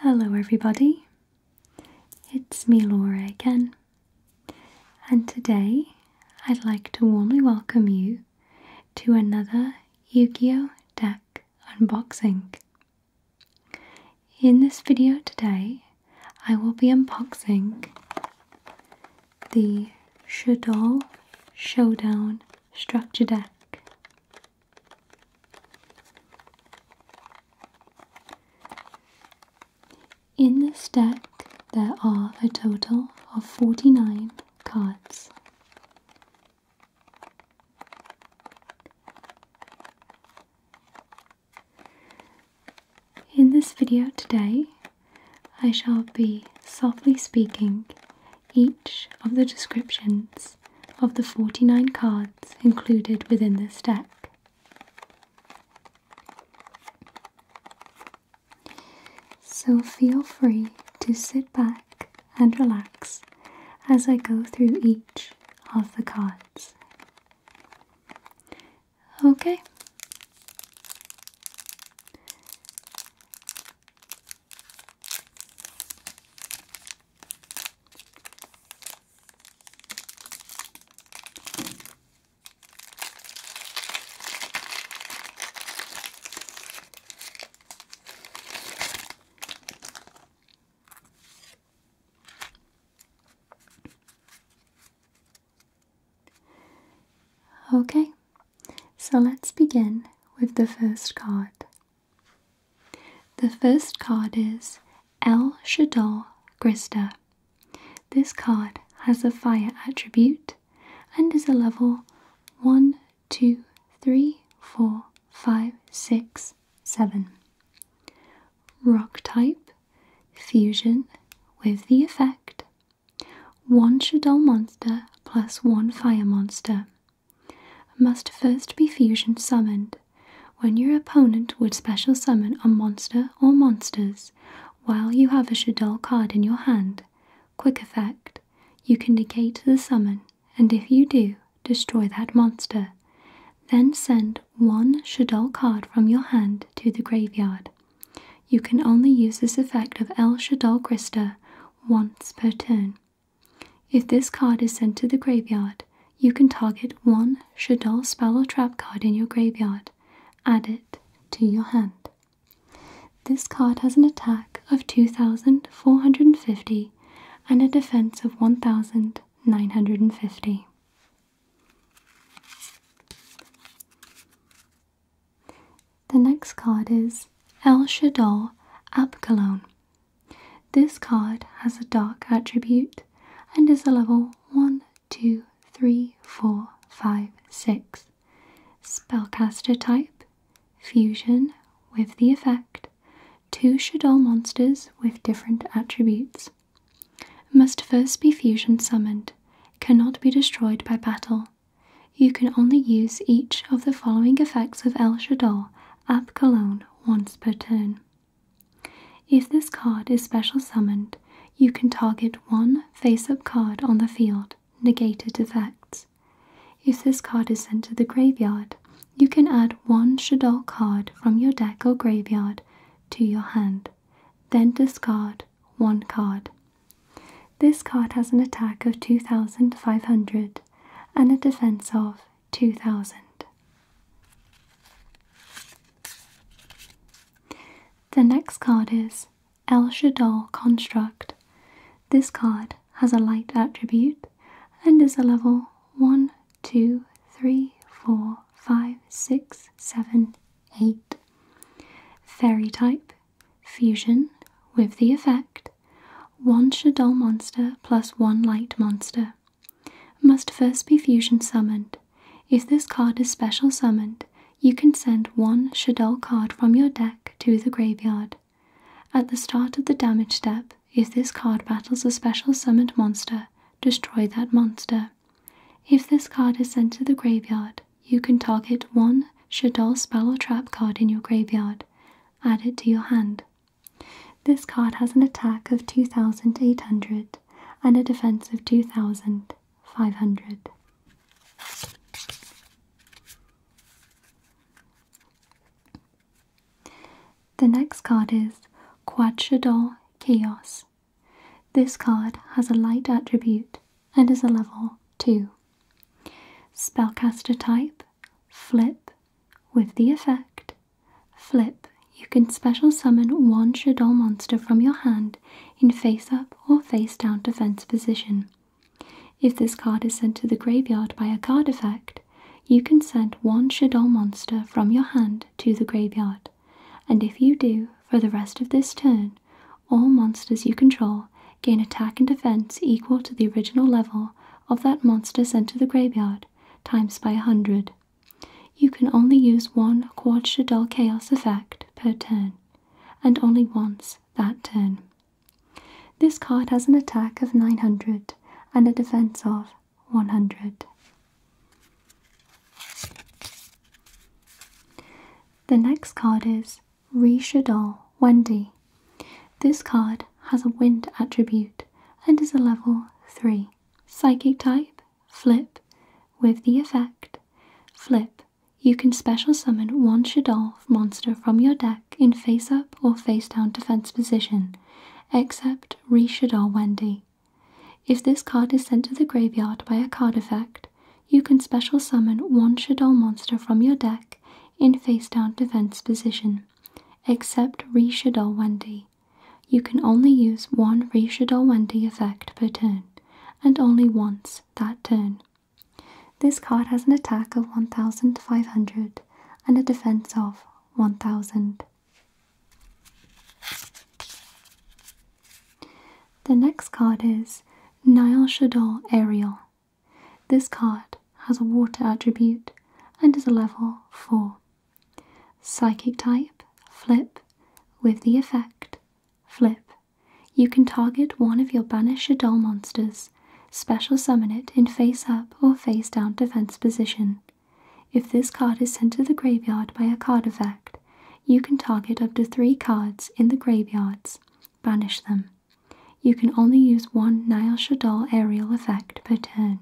Hello, everybody. It's me, Laura, again, and today I'd like to warmly welcome you to another Yu Gi Oh! deck unboxing. In this video today, I will be unboxing the Shadol Showdown Structure Deck. In this deck, there are a total of 49 cards. In this video today, I shall be softly speaking each of the descriptions of the 49 cards included within this deck. So feel free to sit back and relax as I go through each of the cards. Okay. Okay, so let's begin with the first card. The first card is El Shador Grista. This card has a fire attribute and is a level 1, 2, 3, 4, 5, 6, 7. Rock type, fusion with the effect 1 Shadol monster plus 1 fire monster must first be fusion summoned, when your opponent would special summon a monster or monsters while you have a Shadol card in your hand. Quick effect, you can negate the summon, and if you do, destroy that monster. Then send one Shadol card from your hand to the graveyard. You can only use this effect of El Shadol Krista once per turn. If this card is sent to the graveyard, you can target one Shadal spell or trap card in your graveyard. Add it to your hand. This card has an attack of 2450 and a defense of 1950. The next card is El Shadal Abkalon, this card has a dark attribute and is a level 1, 2, 3, 4, 5, 6. Spellcaster type Fusion with the effect two Shadol monsters with different attributes. Must first be fusion summoned, cannot be destroyed by battle. You can only use each of the following effects of El Shadol of Cologne once per turn. If this card is special summoned, you can target one face up card on the field, negated effects. If this card is sent to the graveyard, you can add one Shadol card from your deck or graveyard to your hand, then discard one card. This card has an attack of 2500 and a defence of 2000. The next card is El Shadol Construct. This card has a light attribute and is a level 1, 2, 3, 4, 5, 6, 7, 8. Fairy type, fusion with the effect one Shadow monster plus one light monster must first be fusion summoned. If this card is special summoned, you can send one Shadow card from your deck to the graveyard. At the start of the damage step, if this card battles a special summoned monster, destroy that monster. If this card is sent to the graveyard, you can target one Shadow spell or trap card in your graveyard. Add it to your hand. This card has an attack of 2800 and a defense of 2500. The next card is Quadrador Chaos. This card has a light attribute and is a level 2. Spellcaster type flip with the effect. Flip. You can special summon one Shadow monster from your hand in face up or face down defense position. If this card is sent to the graveyard by a card effect, you can send one Shadow monster from your hand to the graveyard. And if you do, for the rest of this turn, all monsters you control gain attack and defense equal to the original level of that monster sent to the graveyard, times by a hundred. You can only use one Quadshadal Chaos effect per turn, and only once that turn. This card has an attack of 900 and a defense of 100. The next card is Reshadal Wendy. This card has a wind attribute and is a level 3. Psychic type, flip, with the effect flip. You can special summon one Shadolf monster from your deck in face up or face down defense position, except Re Wendy. If this card is sent to the graveyard by a card effect, you can special summon one Shadol monster from your deck in face down defense position except Rishadol Wendy. You can only use one Rishadol Wendy effect per turn, and only once that turn. This card has an attack of 1500 and a defense of 1000. The next card is Nile Shadol Ariel. This card has a water attribute and is a level 4. Psychic type, flip, with the effect, flip. You can target one of your Banish Doll monsters, special summon it in face up or face down defense position. If this card is sent to the graveyard by a card effect, you can target up to three cards in the graveyards, banish them. You can only use one Niall Shadal aerial effect per turn,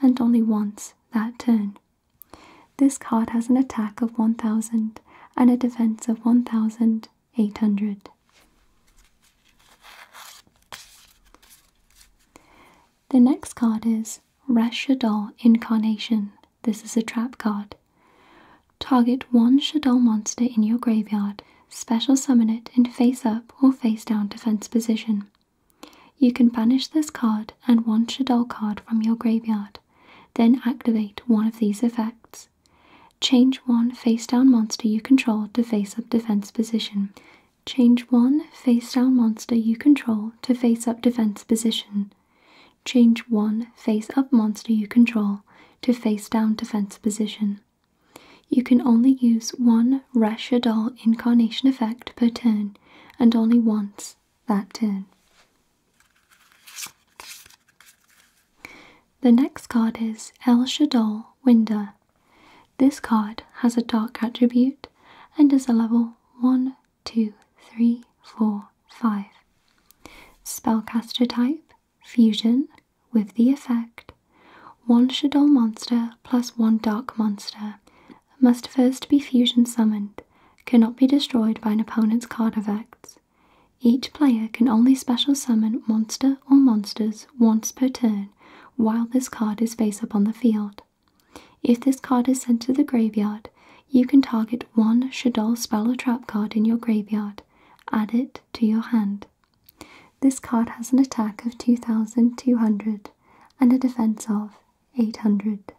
and only once that turn. This card has an attack of 1000 and a defense of 1800. The next card is Resh Incarnation. This is a trap card. Target one Shadal monster in your graveyard special summon it in face up or face down defense position. You can banish this card and one Shadol card from your graveyard, then activate one of these effects. Change one face down monster you control to face up defense position. Change one face down monster you control to face up defense position. Change one face up monster you control to face down defense position. You can only use one Rasha Doll incarnation effect per turn and only once that turn. The next card is El Shadol Winder. This card has a dark attribute and is a level 1, 2, 3, 4, 5. Spellcaster type fusion with the effect one Shadol monster plus one Dark monster must first be fusion summoned, cannot be destroyed by an opponent's card effects. Each player can only special summon monster or monsters once per turn while this card is face up on the field. If this card is sent to the graveyard, you can target one Shadol spell or trap card in your graveyard, add it to your hand. This card has an attack of 2200 and a defense of 800.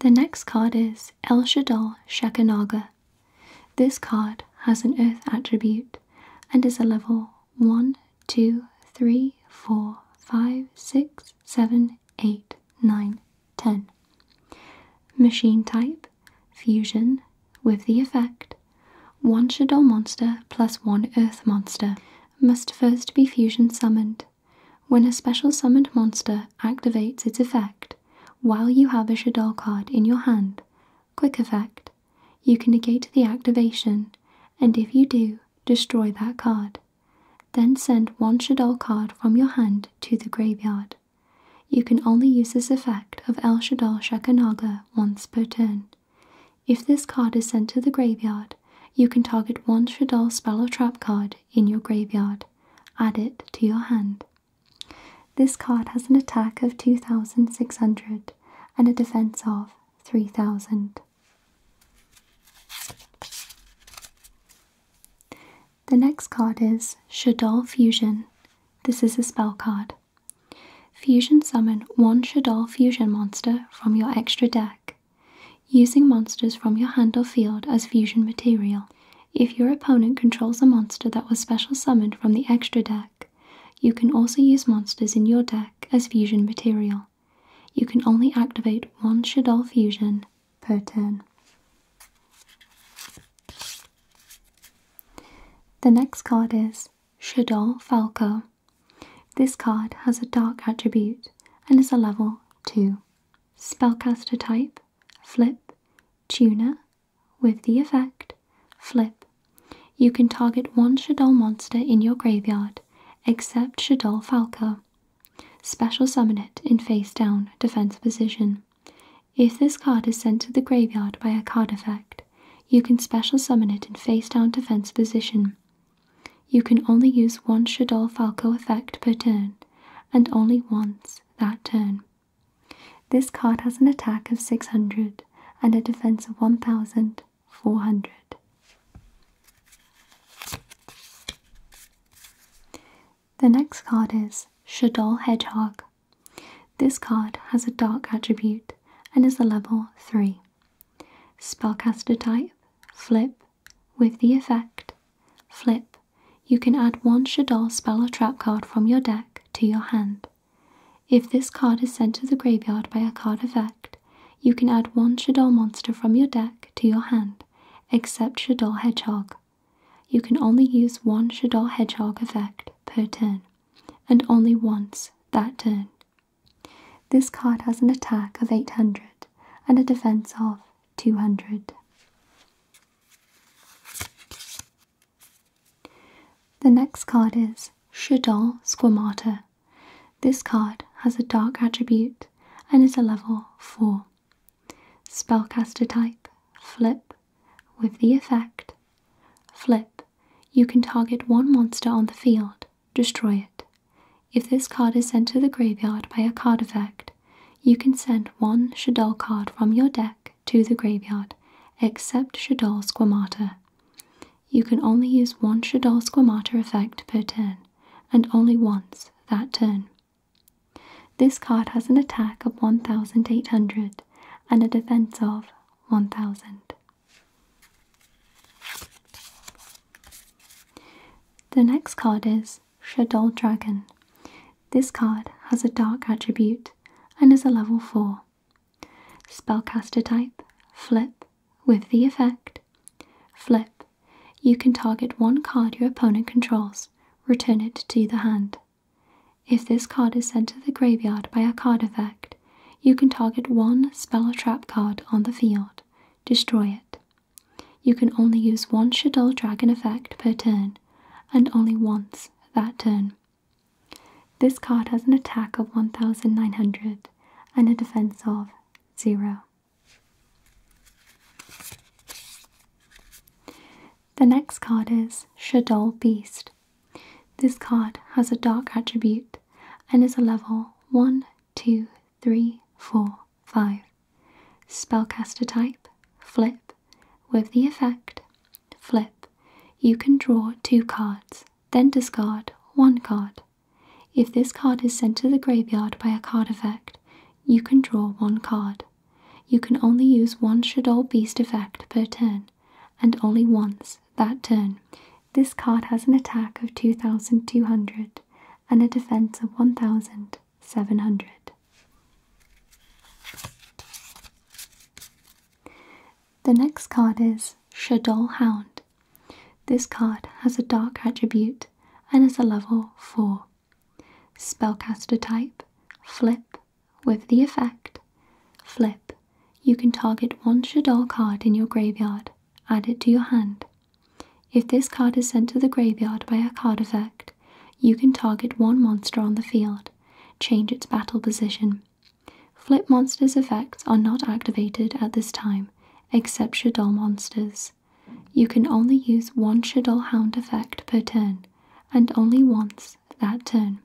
The next card is El Shadal Shakanaga. This card has an earth attribute and is a level 1, 2, 3, 4, 5, 6, 7, 8, 9, 10. Machine type, fusion, with the effect one Shadow monster plus one Earth monster must first be fusion summoned. When a special summoned monster activates its effect while you have a Shadow card in your hand, quick effect, you can negate the activation and if you do, destroy that card. Then send one Shadow card from your hand to the graveyard. You can only use this effect of El Shadol Shekanaga once per turn. If this card is sent to the graveyard, you can target one Shadol Spell or Trap card in your graveyard. Add it to your hand. This card has an attack of 2600 and a defense of 3000. The next card is Shadol Fusion. This is a spell card. Fusion summon one Shadol Fusion monster from your extra deck, using monsters from your hand or field as fusion material. If your opponent controls a monster that was special summoned from the extra deck, you can also use monsters in your deck as fusion material. You can only activate one Shadol Fusion per turn. The next card is Shador Falco. This card has a dark attribute and is a level 2. Spellcaster type, flip, tuner, with the effect, flip. You can target one Shadol monster in your graveyard, except Shadol Falco, Special summon it in face down defense position. If this card is sent to the graveyard by a card effect, you can special summon it in face down defense position. You can only use one Shadow Falco effect per turn, and only once that turn. This card has an attack of 600 and a defense of 1400. The next card is Shadol Hedgehog. This card has a dark attribute and is a level 3. Spellcaster type Flip with the effect Flip. You can add one Shadol spell or trap card from your deck to your hand. If this card is sent to the graveyard by a card effect, you can add one Shadol monster from your deck to your hand, except Shadol Hedgehog. You can only use one Shador Hedgehog effect per turn, and only once that turn. This card has an attack of 800 and a defense of 200. The next card is Shador Squamata. This card has a dark attribute and is a level 4. Spellcaster type, flip, with the effect flip. You can target one monster on the field, destroy it. If this card is sent to the graveyard by a card effect, you can send one Shadol card from your deck to the graveyard, except Shadol Squamata. You can only use one Shadol Squamata effect per turn, and only once that turn. This card has an attack of 1800 and a defense of 1000. The next card is Shadow Dragon. This card has a dark attribute and is a level 4. Spellcaster type, flip, with the effect flip you can target one card your opponent controls, return it to the hand. If this card is sent to the graveyard by a card effect, you can target one spell or trap card on the field, destroy it. You can only use one Shadow Dragon effect per turn, and only once that turn. This card has an attack of 1900 and a defense of 0. The next card is Shadol Beast. This card has a dark attribute and is a level 1, 2, 3, 4, 5. Spellcaster type, flip. With the effect, flip, you can draw two cards, then discard one card. If this card is sent to the graveyard by a card effect, you can draw one card. You can only use one Shadow Beast effect per turn, and only once that turn. This card has an attack of 2200 and a defense of 1700. The next card is Shadow Hound. This card has a dark attribute and is a level 4. Spellcaster type, flip, with the effect. Flip. You can target one Shadar card in your graveyard, add it to your hand. If this card is sent to the graveyard by a card effect, you can target one monster on the field, change its battle position. Flip monsters' effects are not activated at this time, except Shadar monsters. You can only use one Shadow effect per turn, and only once that turn.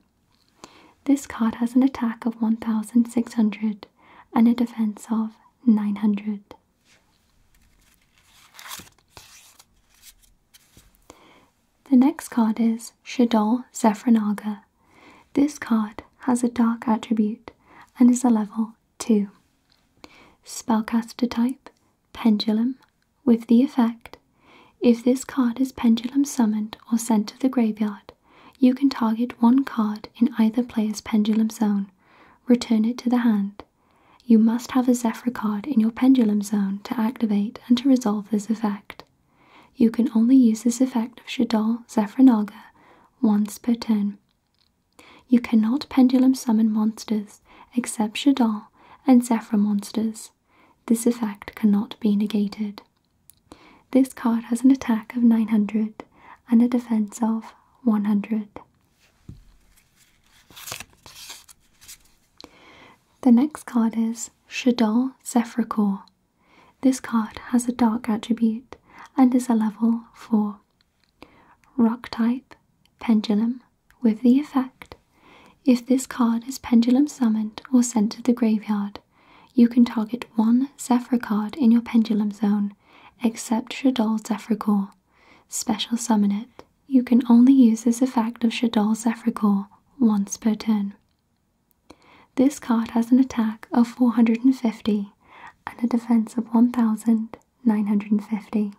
This card has an attack of 1600 and a defense of 900. The next card is Shadol Zephranaga. This card has a dark attribute and is a level 2. Spellcaster type Pendulum, with the effect if this card is pendulum summoned or sent to the graveyard, you can target one card in either player's pendulum zone, return it to the hand. You must have a Zephyr card in your pendulum zone to activate and to resolve this effect. You can only use this effect of Shadal Zephyr Naga once per turn. You cannot pendulum summon monsters except Shadar and Zephyr monsters. This effect cannot be negated. This card has an attack of 900 and a defense of 100. The next card is Shadar Core. This card has a dark attribute and is a level 4 Rock type, Pendulum, with the effect if this card is pendulum summoned or sent to the graveyard, you can target one Zephyr card in your pendulum zone, except Shadol Zephyr Special summon it. You can only use this effect of Shadol Zephyr once per turn. This card has an attack of 450 and a defense of 1000 950.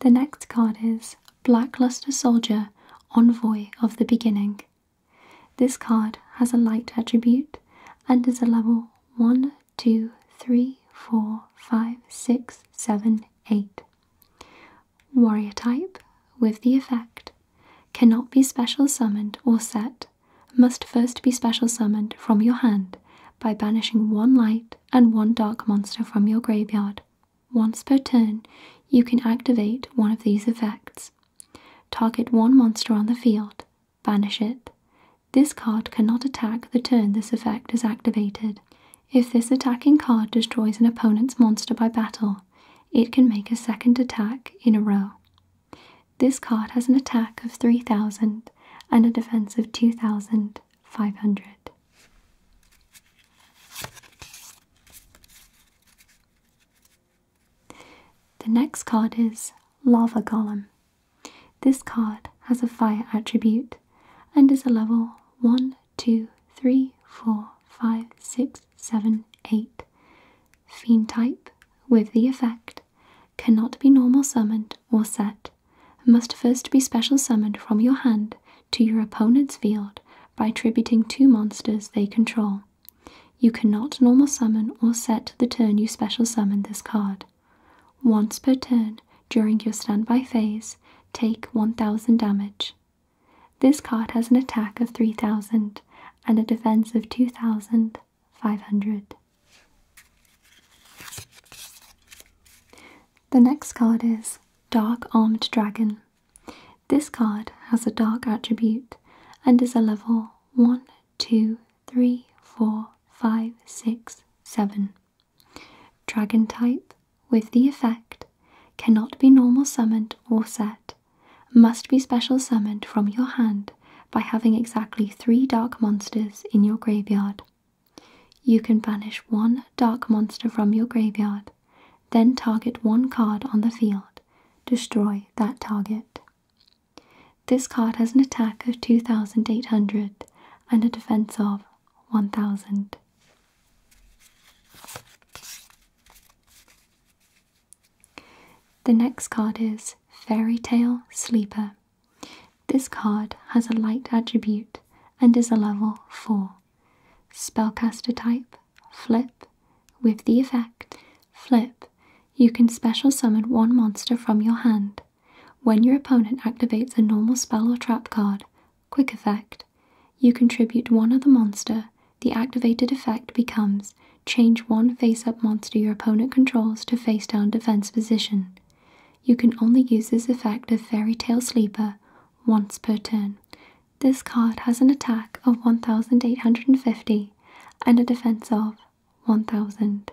The next card is Blackluster Soldier, Envoy of the Beginning. This card has a light attribute and is a level 1, 2, 3, 4, 5, 6, 7, 8. Warrior type with the effect cannot be special summoned or set must first be special summoned from your hand by banishing one light and one dark monster from your graveyard. Once per turn, you can activate one of these effects. Target one monster on the field, banish it. This card cannot attack the turn this effect is activated. If this attacking card destroys an opponent's monster by battle, it can make a second attack in a row. This card has an attack of 3000 and a defense of 2500. The next card is Lava Golem. This card has a fire attribute and is a level 1, 2, 3, 4, 5, 6, 7, 8. Phenotype, with the effect, cannot be normal summoned or set, must first be special summoned from your hand to your opponent's field by tributing two monsters they control. You cannot normal summon or set the turn you special summon this card. Once per turn during your standby phase, take 1000 damage. This card has an attack of 3000 and a defense of 2000 500. The next card is Dark Armed Dragon. This card has a dark attribute and is a level 1, 2, 3, 4, 5, 6, 7. Dragon type with the effect cannot be normal summoned or set, must be special summoned from your hand by having exactly three dark monsters in your graveyard. You can banish one dark monster from your graveyard, then target one card on the field, destroy that target. This card has an attack of 2800 and a defense of 1000. The next card is Fairy Tale Sleeper. This card has a light attribute and is a level 4. Spellcaster type, flip, with the effect flip. You can special summon one monster from your hand. When your opponent activates a normal spell or trap card, quick effect, you contribute one other monster, the activated effect becomes change one face up monster your opponent controls to face down defense position. You can only use this effect of Fairy Tale Sleeper once per turn. This card has an attack of 1850 and a defense of 1000.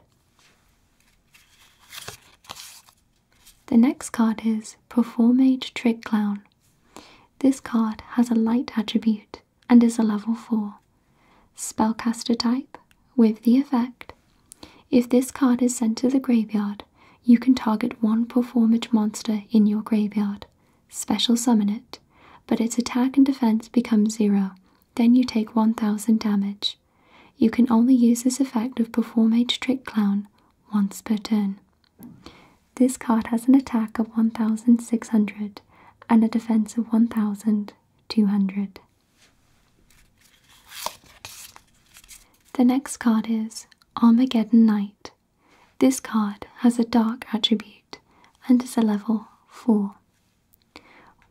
The next card is Performate Trick Clown. This card has a light attribute and is a level 4. Spellcaster type with the effect. If this card is sent to the graveyard, you can target one performage monster in your graveyard. Special summon it, but its attack and defense become zero. Then you take 1000 damage. You can only use this effect of Performage Trick Clown once per turn. This card has an attack of 1600 and a defense of 1000 200. The next card is Armageddon Knight. This card has a dark attribute and is a level 4.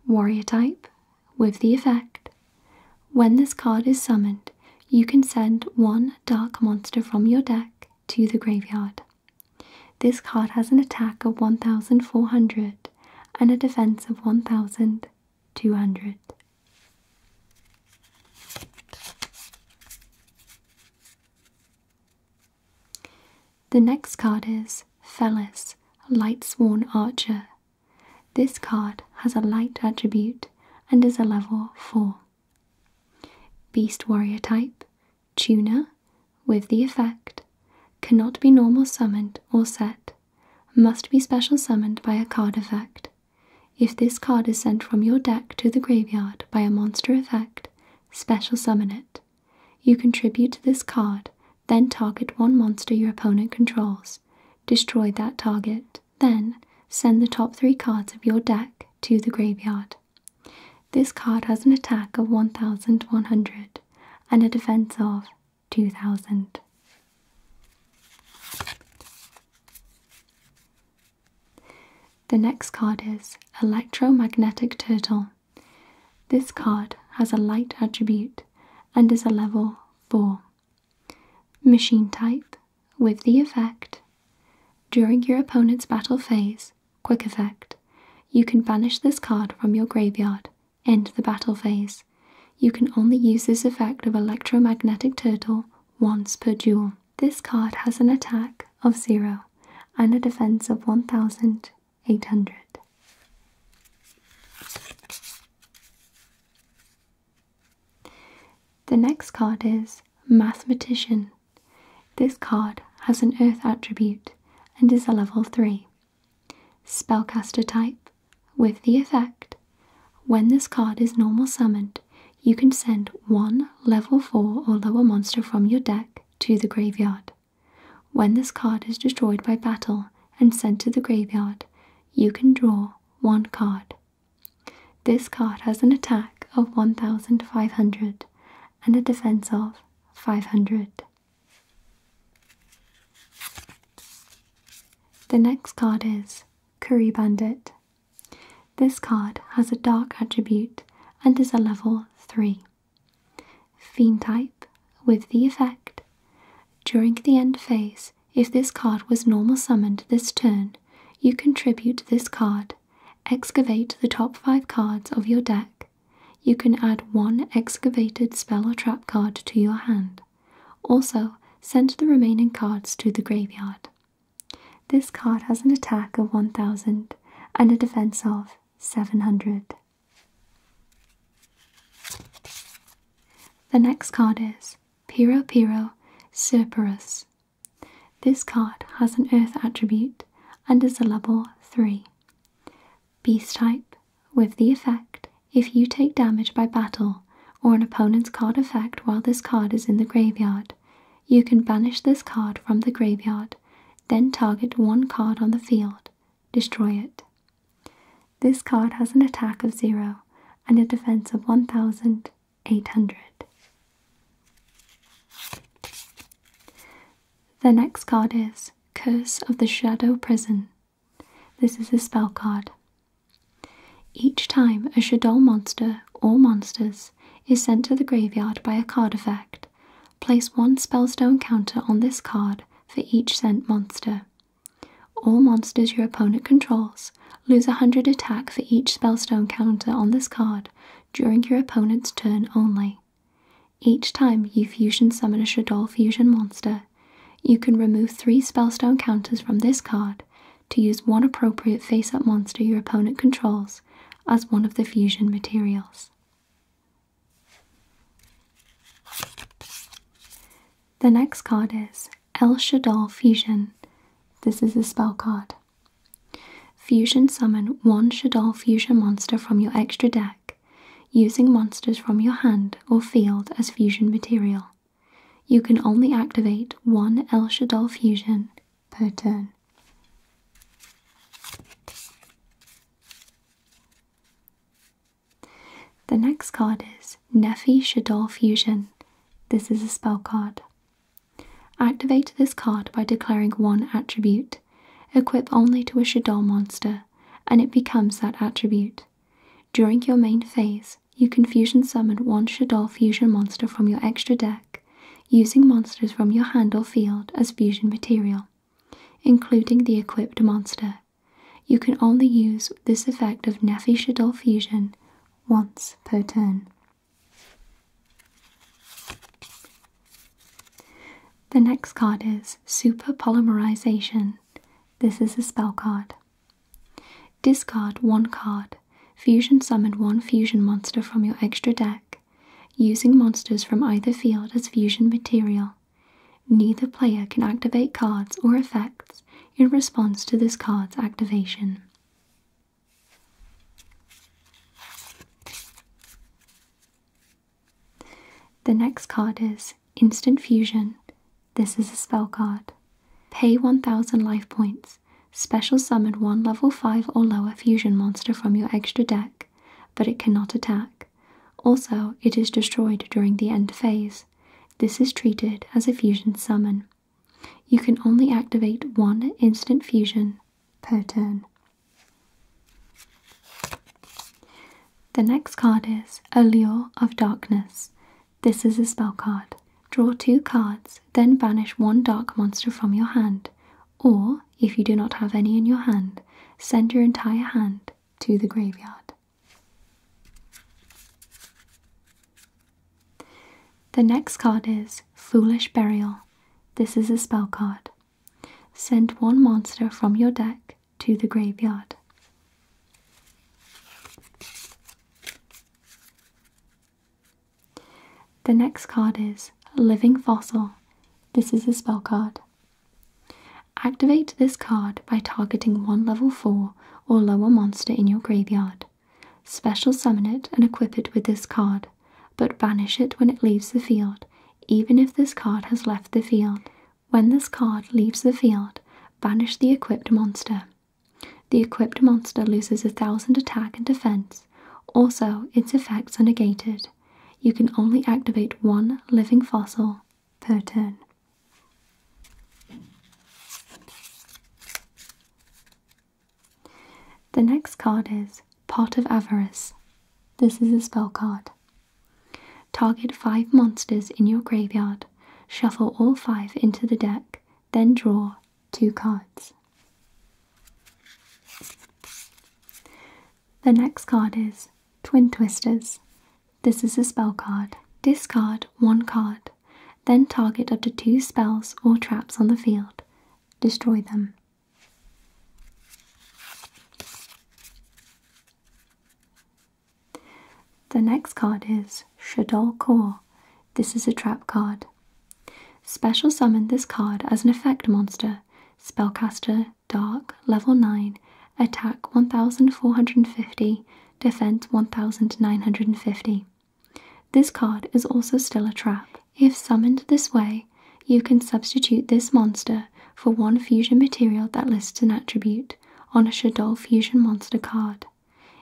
Warrior type with the effect. When this card is summoned, you can send one dark monster from your deck to the graveyard. This card has an attack of 1400 and a defense of 1200. The next card is Felis, Light Sworn Archer. This card has a light attribute and is a level 4. Beast Warrior type, Tuna, with the effect, cannot be normal summoned or set, must be special summoned by a card effect. If this card is sent from your deck to the graveyard by a monster effect, special summon it. You contribute this card, then target one monster your opponent controls. Destroy that target, then send the top three cards of your deck to the graveyard. This card has an attack of 1100 and a defense of 2000. The next card is Electromagnetic Turtle. This card has a light attribute and is a level 4. Machine type with the effect during your opponent's battle phase, quick effect. You can banish this card from your graveyard. End the battle phase. You can only use this effect of Electromagnetic Turtle once per duel. This card has an attack of 0 and a defense of 1800. The next card is Mathematician. This card has an Earth attribute and is a level 3. Spellcaster type with the effect when this card is normal summoned, you can send one level 4 or lower monster from your deck to the graveyard. When this card is destroyed by battle and sent to the graveyard, you can draw one card. This card has an attack of 1500 and a defense of 500. The next card is Curry Bandit. This card has a dark attribute and is a level 3. Fiend type with the effect. During the end phase, if this card was normal summoned this turn, you contribute this card, excavate the top 5 cards of your deck, you can add one excavated spell or trap card to your hand. Also, send the remaining cards to the graveyard. This card has an attack of 1000 and a defense of 700. The next card is Piro Piro Serperus. This card has an earth attribute and is a level 3. Beast type, with the effect, if you take damage by battle or an opponent's card effect while this card is in the graveyard, you can banish this card from the graveyard, then target one card on the field, destroy it. This card has an attack of 0 and a defense of 1800. The next card is Curse of the Shadow Prison. This is a spell card. Each time a Shadol monster or monsters is sent to the graveyard by a card effect, place one spellstone counter on this card for each sent monster. All monsters your opponent controls lose 100 attack for each spellstone counter on this card during your opponent's turn only. Each time you fusion summon a Shadol fusion monster, you can remove three spellstone counters from this card to use one appropriate face up monster your opponent controls as one of the fusion materials. The next card is El Shadol Fusion. This is a spell card. Fusion summon one Shadol Fusion monster from your extra deck using monsters from your hand or field as fusion material. You can only activate one El Shadol fusion per turn. The next card is Nefi Fusion. This is a spell card. Activate this card by declaring one attribute equip only to a Shadol monster, and it becomes that attribute. During your main phase, you Confusion summon one Shadol fusion monster from your extra deck, using monsters from your hand or field as fusion material, including the equipped monster. You can only use this effect of Nephi Shadol fusion once per turn. The next card is Super Polymerization. This is a spell card. Discard one card. Fusion Summon one fusion monster from your extra deck, using monsters from either field as fusion material. Neither player can activate cards or effects in response to this card's activation. The next card is Instant Fusion. This is a spell card. Pay 1000 life points. Special summon one level 5 or lower fusion monster from your extra deck, but it cannot attack. Also, it is destroyed during the end phase. This is treated as a fusion summon. You can only activate one instant fusion per turn. The next card is Allure of Darkness. This is a spell card. Draw two cards, then banish one dark monster from your hand, or if you do not have any in your hand, send your entire hand to the graveyard. The next card is Foolish Burial. This is a spell card. Send one monster from your deck to the graveyard. The next card is Living Fossil. This is a spell card. Activate this card by targeting one level 4 or lower monster in your graveyard. Special summon it and equip it with this card but banish it when it leaves the field, even if this card has left the field. When this card leaves the field, banish the equipped monster. The equipped monster loses a thousand attack and defense. Also, its effects are negated. You can only activate one living fossil per turn. The next card is Pot of Avarice. This is a spell card. Target five monsters in your graveyard, shuffle all five into the deck, then draw two cards. The next card is Twin Twisters. This is a spell card. Discard one card, then target up to two spells or traps on the field. Destroy them. The next card is Shadol Core. This is a trap card. Special summon this card as an effect monster. Spellcaster, Dark, level 9, attack 1450, defense 1950. This card is also still a trap. If summoned this way, you can substitute this monster for one fusion material that lists an attribute on a Shadol fusion monster card.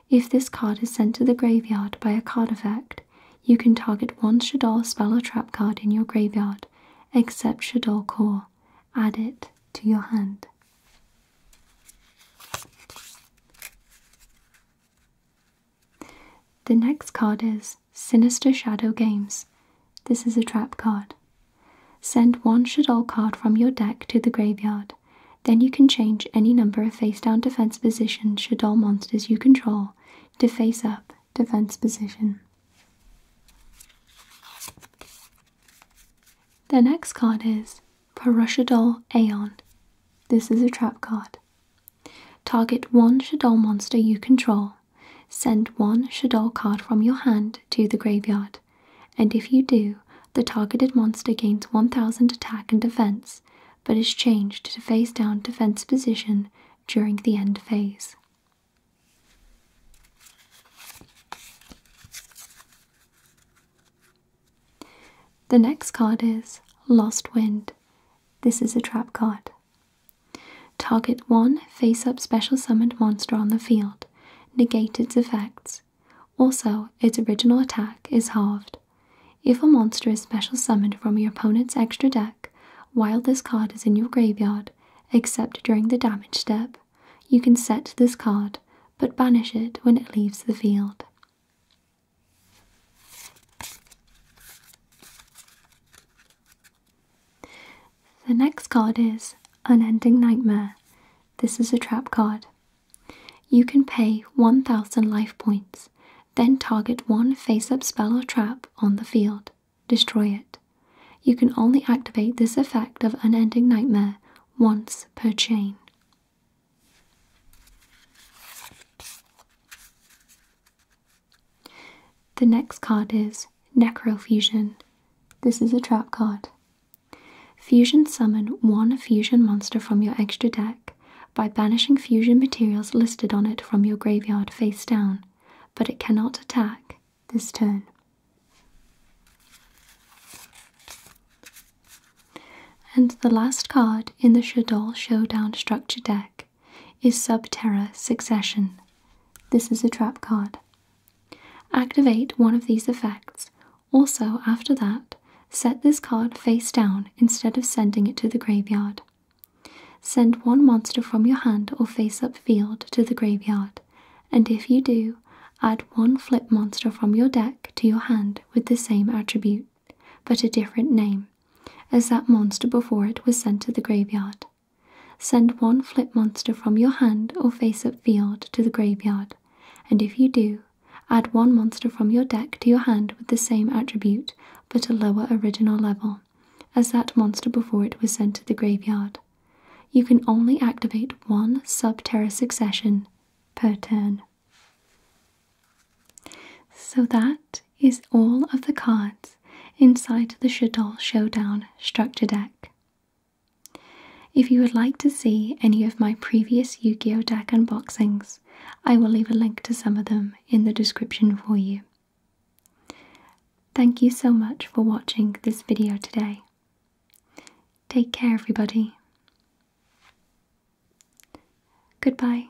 If this card is sent to the graveyard by a card effect, you can target one Shadol spell or trap card in your graveyard, except Shadol Core. Add it to your hand. The next card is Sinister Shadow Games. This is a trap card. Send one shadow card from your deck to the graveyard. Then you can change any number of face down defense position Shadol monsters you control to face up defense position. The next card is Parushadol Aeon. This is a trap card. Target one Shadol monster you control. Send one Shadol card from your hand to the graveyard, and if you do, the targeted monster gains 1000 attack and defense, but is changed to face down defense position during the end phase. The next card is Lost Wind. This is a trap card. Target one face up special summoned monster on the field, negate its effects. Also, its original attack is halved. If a monster is special summoned from your opponent's extra deck while this card is in your graveyard, except during the damage step, you can set this card but banish it when it leaves the field. The next card is Unending Nightmare. This is a trap card. You can pay 1000 life points, then target one face up spell or trap on the field. Destroy it. You can only activate this effect of Unending Nightmare once per chain. The next card is Necrofusion. This is a trap card. Fusion summon one fusion monster from your extra deck by banishing fusion materials listed on it from your graveyard face down, but it cannot attack this turn. And the last card in the Shadol Showdown structure deck deck is Subterra Succession. This is a trap card. Activate one of these effects. Also, after that, set this card face down instead of sending it to the graveyard. Send one monster from your hand or face up field to the graveyard, and if you do, add one flip monster from your deck to your hand with the same attribute, but a different name, as that monster before it was sent to the graveyard. Send one flip monster from your hand or face up field to the graveyard, and if you do, add one monster from your deck to your hand with the same attribute but a lower original level as that monster before it was sent to the graveyard. You can only activate one subterra succession per turn. So that is all of the cards inside the Shadol Showdown structure deck. If you would like to see any of my previous Yu Gi Oh! deck unboxings, I will leave a link to some of them in the description for you. Thank you so much for watching this video today. Take care, everybody. Goodbye.